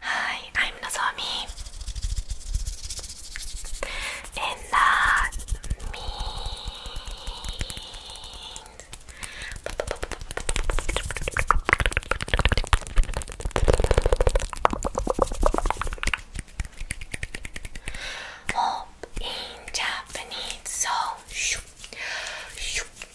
Hi, I'm Nozomi. And that uh, means hope in Japanese. So, shoo, shoo,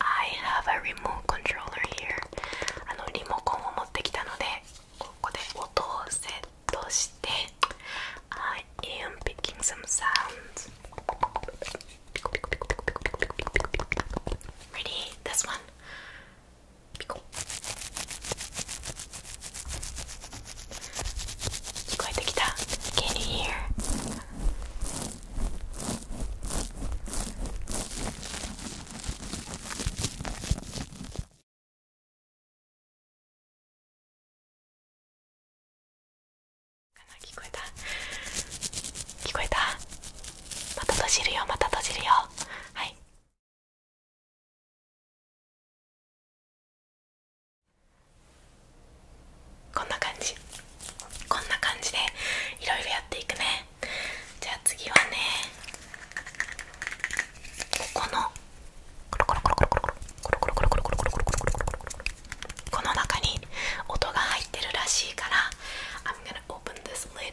I have a remote controller here あのリモコンを持ってきたのでここで音をセットして I am picking some sounds Ready? This one? 聞こえてきた Can you hear? 聞こえた聞こえたまた閉じるよまた閉じるよはいこんな感じこんな感じでいろいろやっていくねじゃあ次はねここのこの中に音が入ってるらしいから I'm gonna open this lid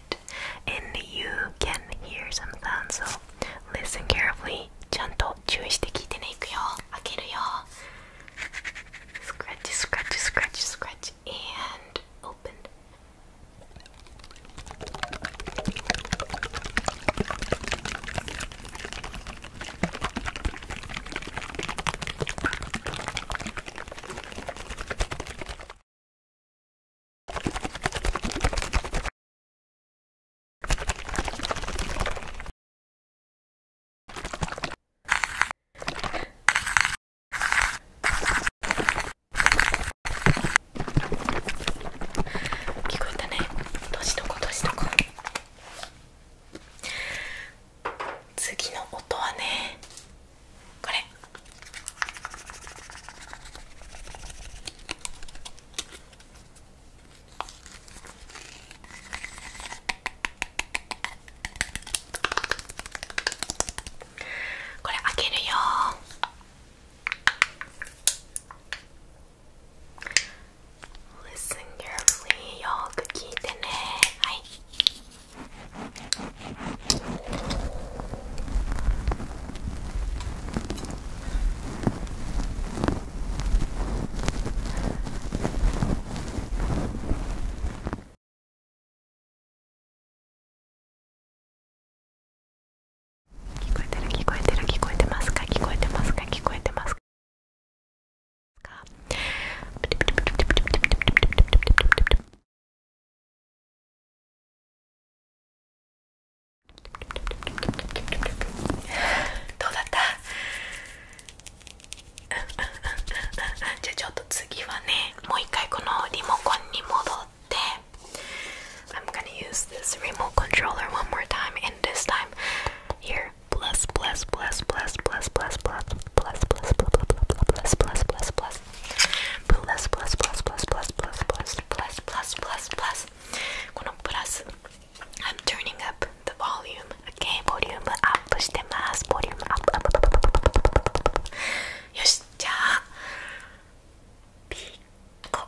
and you can hear some sound so listen carefully ちゃんとを注意して聞いてねいくよ開けるよ scratch scratch scratch scratch and open 聞こえたねどしどこどしどこ次の音はねこれこれ開けるよー Listen c よく聞いてねはい聞こえてる聞こえてる聞こえてますか聞こえてますか聞こえてますかどうだったじゃあちょっと次はねもう一回このリモコンに戻って I'm use this remote controller one more time Plus, plus, plus, plus, plus, plus, plus, plus, plus, plus, plus. Kono plus. I'm turning up the volume. Okay, volume up. Volume up, up, up, up, up, up, up, up, up. よし、じゃあ、ピッコ。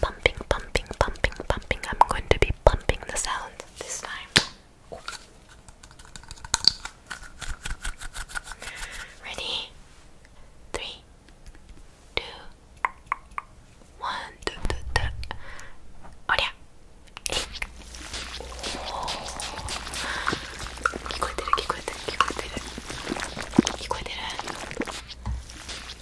pumping, pumping, pumping, pumping. I'm going to be pumping the sound this time. Ooh. Ready? Three, two, one, two, two, two. Oh yeah. Oh. 聞こえてる聞こえてる聞こえてる聞こえてる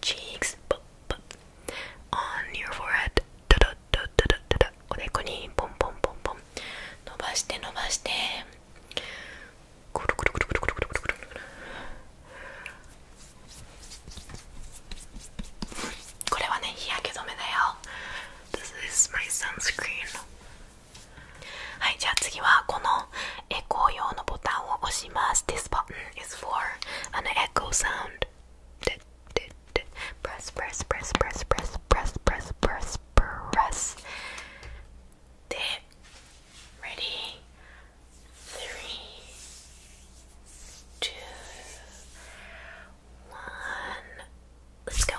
チーズ e k s ポッポッ on your forehead ドドドドドドドおでこにポンポンポンポン伸ばして伸ばしてくるくるくるくるくるくるくるくるこれはね日焼け止めだよ This is my sunscreen はいじゃあ次はこの echo 用のボタンを押します。This button is for an echo sound. Press, press, press, press, press, press, press, press, press. で、ready? Three, two, one. Let's go.